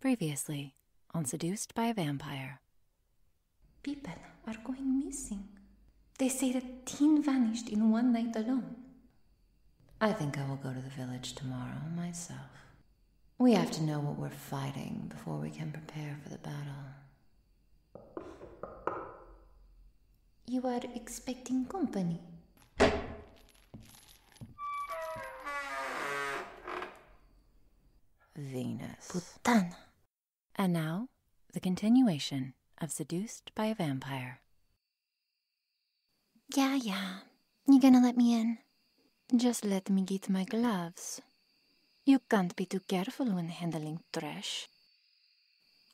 Previously on Seduced by a Vampire. People are going missing. They say that teen vanished in one night alone. I think I will go to the village tomorrow myself. We have to know what we're fighting before we can prepare for the battle. You are expecting company. Venus. Puttana. And now, the continuation of Seduced by a Vampire. Yeah, yeah. You gonna let me in? Just let me get my gloves. You can't be too careful when handling trash.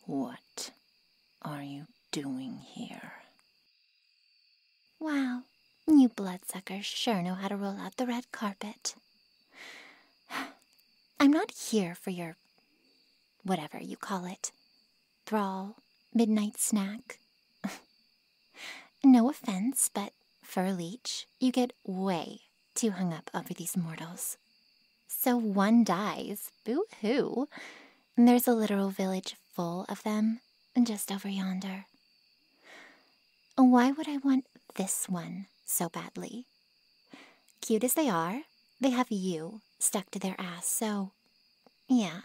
What are you doing here? Wow, you bloodsuckers sure know how to roll out the red carpet. I'm not here for your whatever you call it thrall, midnight snack. no offense, but for a leech, you get way too hung up over these mortals. So one dies, boo hoo. And there's a literal village full of them just over yonder. Why would I want this one so badly? Cute as they are, they have you stuck to their ass, so yeah,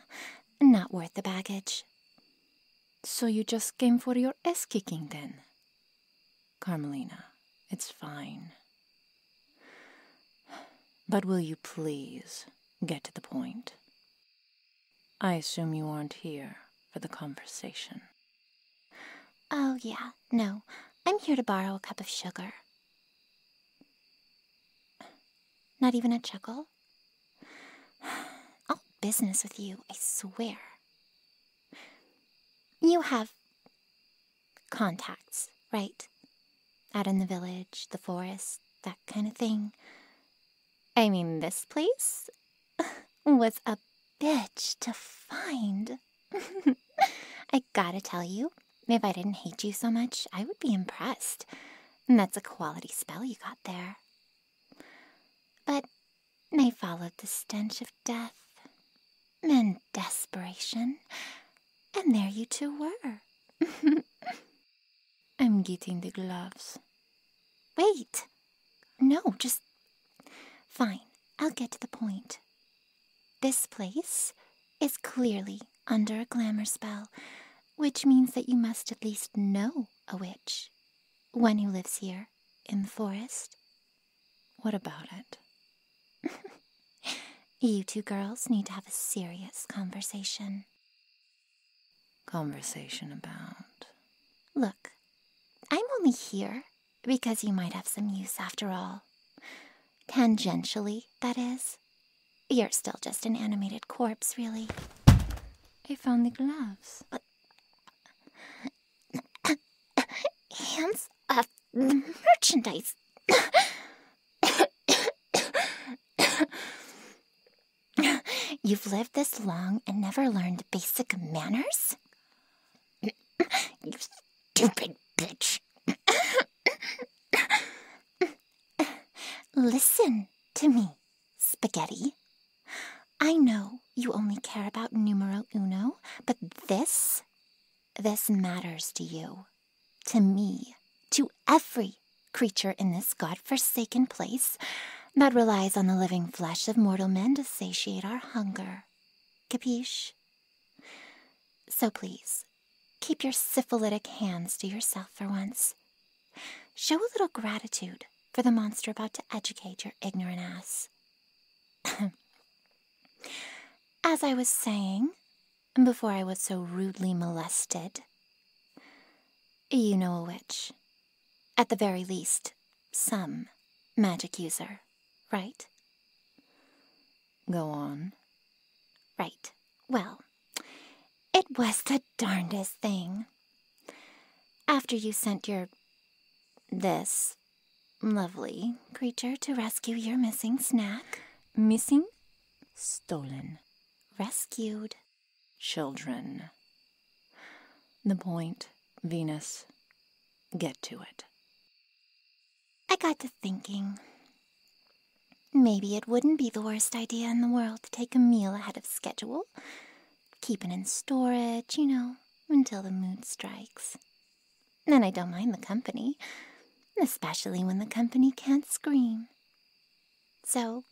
not worth the baggage. So you just came for your ass kicking then? Carmelina, it's fine. But will you please get to the point? I assume you aren't here for the conversation. Oh, yeah, no. I'm here to borrow a cup of sugar. Not even a chuckle? All business with you, I swear. You have contacts, right? Out in the village, the forest, that kind of thing. I mean, this place was a bitch to find. I gotta tell you, if I didn't hate you so much, I would be impressed. And that's a quality spell you got there. But I followed the stench of death and desperation, and there you two were. I'm getting the gloves. Wait! No, just. Fine, I'll get to the point. This place is clearly under a glamour spell, which means that you must at least know a witch. One who lives here, in the forest. What about it? you two girls need to have a serious conversation conversation about. Look, I'm only here because you might have some use after all. Tangentially, that is. You're still just an animated corpse, really. I found the gloves. Hands off the merchandise. You've lived this long and never learned basic manners? you stupid bitch. Listen to me, Spaghetti. I know you only care about numero uno, but this, this matters to you, to me, to every creature in this god-forsaken place that relies on the living flesh of mortal men to satiate our hunger. Capiche? So please, keep your syphilitic hands to yourself for once. Show a little gratitude for the monster about to educate your ignorant ass. As I was saying, before I was so rudely molested, you know a witch. At the very least, some magic user, right? Go on. Right. Well, it was the darndest thing. After you sent your. this lovely creature to rescue your missing snack. Missing? Stolen. Rescued children. The point, Venus. Get to it. I got to thinking. Maybe it wouldn't be the worst idea in the world to take a meal ahead of schedule. Keep it in storage, you know, until the mood strikes. Then I don't mind the company, especially when the company can't scream. So,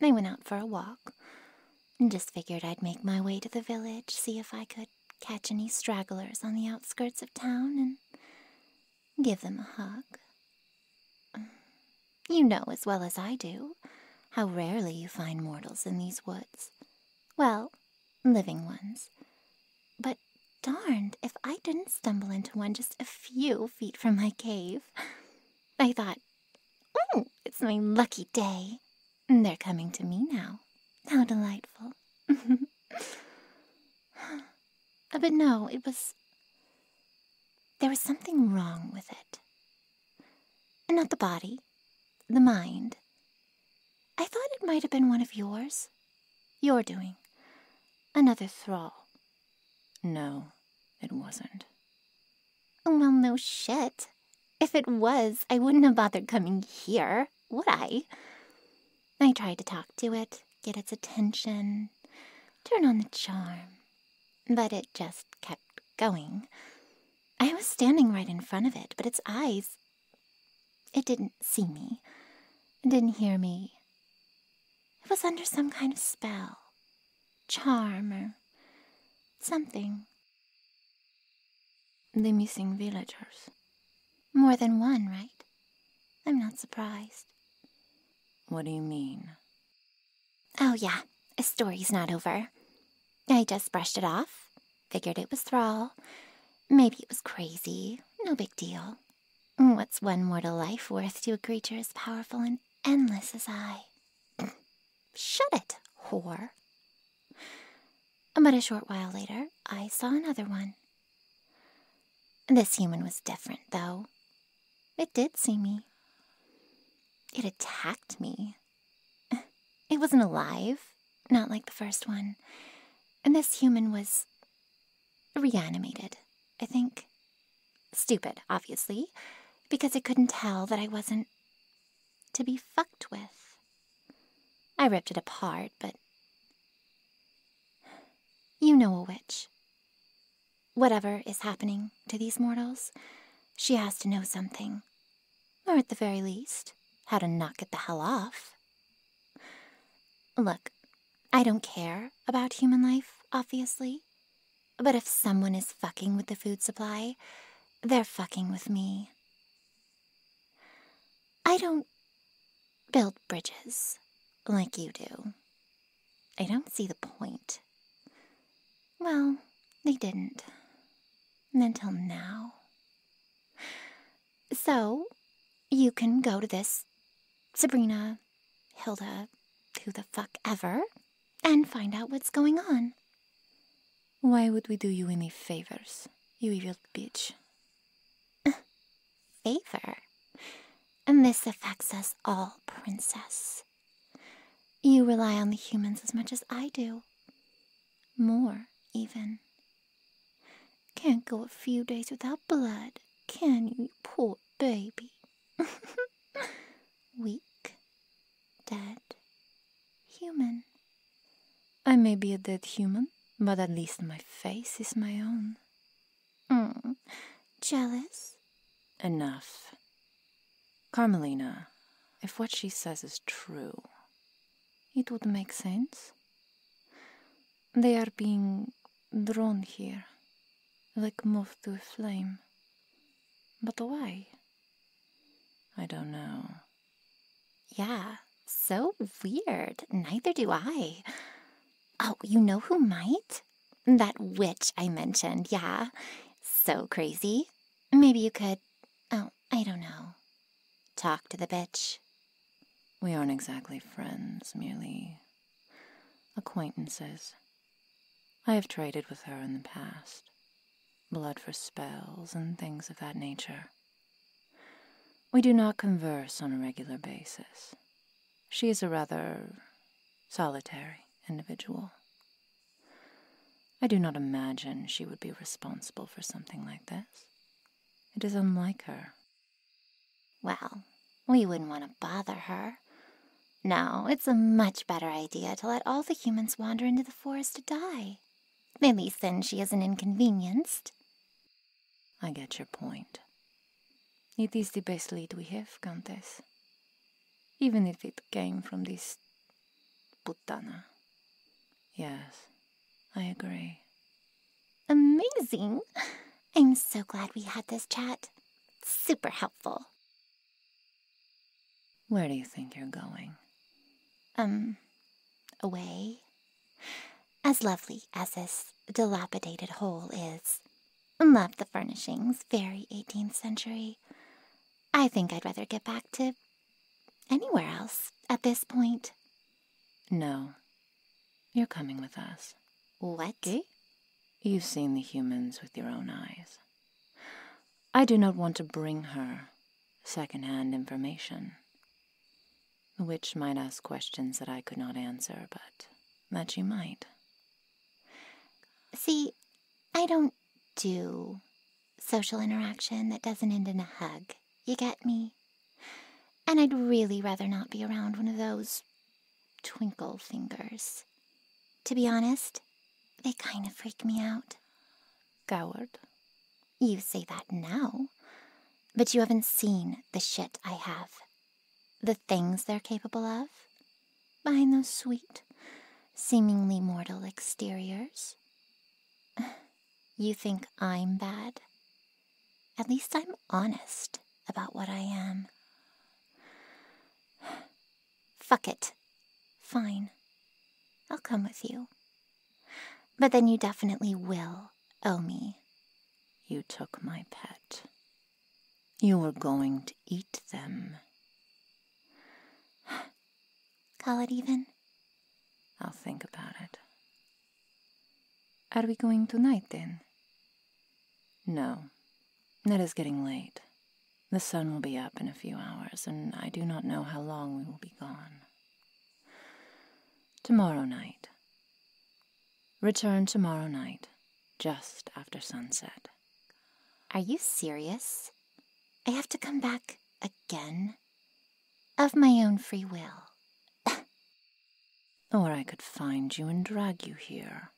I went out for a walk. and Just figured I'd make my way to the village, see if I could catch any stragglers on the outskirts of town, and give them a hug. Mm, you know as well as I do how rarely you find mortals in these woods. Well, living ones. But darned if I didn't stumble into one just a few feet from my cave. I thought, oh, it's my lucky day. They're coming to me now. How delightful. but no, it was. There was something wrong with it. Not the body, the mind. I thought it might have been one of yours. Your doing. Another thrall no, it wasn't. Well, no shit. If it was, I wouldn't have bothered coming here, would I? I tried to talk to it, get its attention, turn on the charm, but it just kept going. I was standing right in front of it, but its eyes. It didn't see me, it didn't hear me. It was under some kind of spell. Charmer, something. The missing villagers. More than one, right? I'm not surprised. What do you mean? Oh, yeah, a story's not over. I just brushed it off, figured it was thrall. Maybe it was crazy, no big deal. What's one mortal life worth to a creature as powerful and endless as I. Shut it, whore. But a short while later, I saw another one. This human was different, though. It did see me. It attacked me. It wasn't alive, not like the first one. And this human was reanimated, I think. Stupid, obviously, because it couldn't tell that I wasn't to be fucked with. I ripped it apart, but. You know a witch. Whatever is happening to these mortals, she has to know something. Or at the very least, how to knock it the hell off. Look, I don't care about human life, obviously. But if someone is fucking with the food supply, they're fucking with me. I don't build bridges like you do. I don't see the point. Well, they didn't. Until now. So, you can go to this Sabrina Hilda, who the fuck ever, and find out what's going on. Why would we do you any favors, you evil bitch? Favor? And this affects us all, princess. You rely on the humans as much as I do. More, even. Can't go a few days without blood, can you poor baby? Weak, dead, human. I may be a dead human, but at least my face is my own. Hmm, jealous? Enough. Carmelina, if what she says is true, it would make sense. They are being drawn here, like moth to a flame. But why? I don't know. Yeah, so weird. Neither do I. Oh, you know who might? That witch I mentioned, yeah. So crazy. Maybe you could, oh, I don't know, talk to the bitch. We aren't exactly friends, merely acquaintances. I have traded with her in the past blood for spells and things of that nature. We do not converse on a regular basis. She is a rather solitary individual. I do not imagine she would be responsible for something like this. It is unlike her well, we wouldn't want to bother her. No, it's a much better idea to let all the humans wander into the forest to die. At least then she isn't inconvenienced. I get your point. It is the best lead we have, Countess. Even if it came from this putana. Yes, I agree. Amazing! I'm so glad we had this chat. super helpful. Where do you think you're going? Um, away? As lovely as this dilapidated hole is. Love the furnishings, very 18th century. I think I'd rather get back to anywhere else at this point. No, you're coming with us. What? Eh? You've seen the humans with your own eyes. I do not want to bring her second-hand information. The witch might ask questions that I could not answer, but that she might. See, I don't do social interaction that doesn't end in a hug. You get me? And I'd really rather not be around one of those twinkle fingers. To be honest, they kind of freak me out. Goward, You say that now, but you haven't seen the shit I have. The things they're capable of. Behind those sweet, seemingly mortal exteriors. You think I'm bad? At least I'm honest about what I am. Fuck it. Fine. I'll come with you. But then you definitely will owe me. You took my pet. You were going to eat them. Call it even? I'll think about it. Are we going tonight then? No, it is getting late. The sun will be up in a few hours, and I do not know how long we will be gone. Tomorrow night. Return tomorrow night, just after sunset. Are you serious? I have to come back again? Of my own free will or I could find you and drag you here.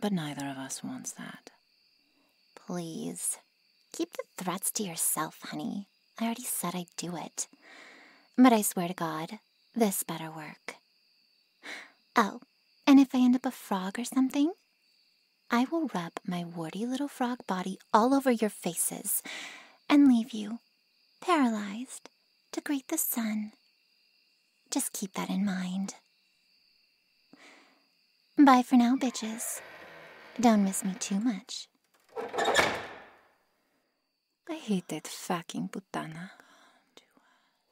But neither of us wants that. Please, keep the threats to yourself, honey. I already said I'd do it. But I swear to God, this better work. Oh, and if I end up a frog or something, I will rub my warty little frog body all over your faces and leave you paralyzed to greet the sun. Just keep that in mind. Bye for now, bitches. Don't miss me too much. I hate that fucking putana.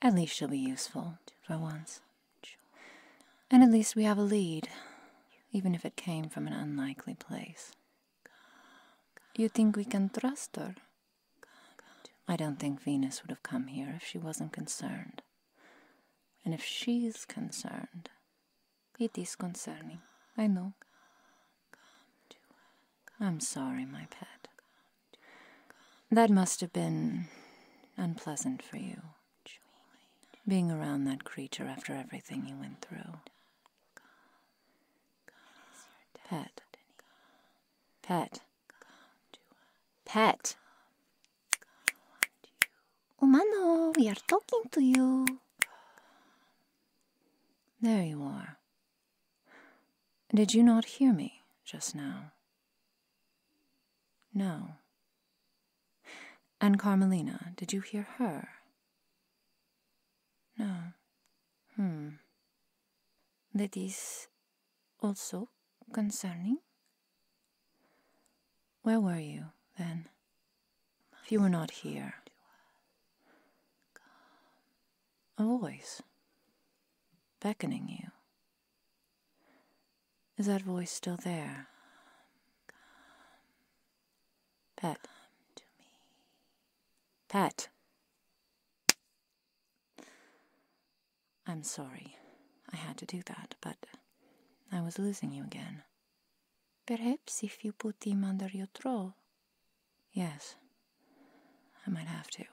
At least she'll be useful, for once. And at least we have a lead, even if it came from an unlikely place. You think we can trust her? I don't think Venus would have come here if she wasn't concerned. And if she's concerned, it is concerning. I know. I'm sorry, my pet. That must have been unpleasant for you. Being around that creature after everything you went through. Pet, Pet. Pet. Oh, we are talking to you. There you are. Did you not hear me just now? No. And Carmelina, did you hear her? No. Hmm that is also concerning? Where were you then? If you were not here. A voice beckoning you. Is that voice still there? Pat. Pat. I'm sorry I had to do that, but I was losing you again. Perhaps if you put him under your thrall, Yes, I might have to.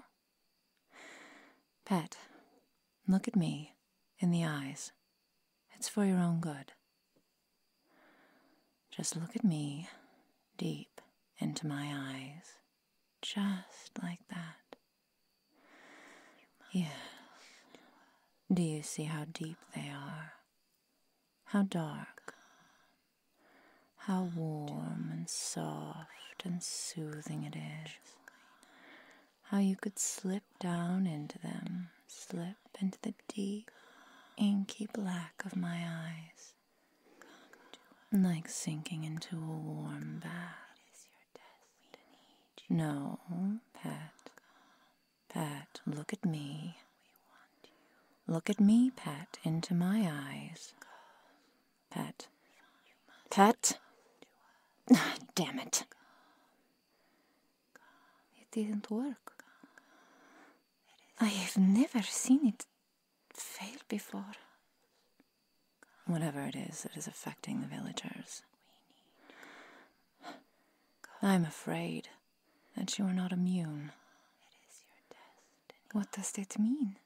Pat, look at me in the eyes. It's for your own good. Just look at me deep into my eyes. Just like that. Yes. Do you see how deep they are? How dark? How warm and soft and soothing it is. How you could slip down into them, slip into the deep, inky black of my eyes like sinking into a warm bath. No, Pat. Pat, look at me. Look at me, Pat, into my eyes. Pat. Pat! Damn it. It didn't work. I have never seen it failed before. Whatever it is that is affecting the villagers. I'm afraid that you are not immune. What does that mean?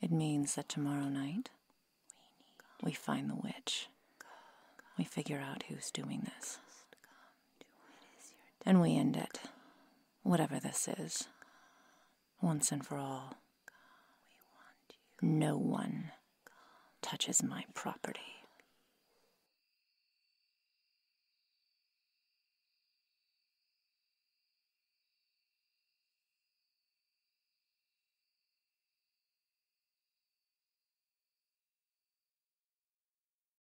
It means that tomorrow night we find the witch. We figure out who's doing this. And we end it, whatever this is, once and for all. No one touches my property.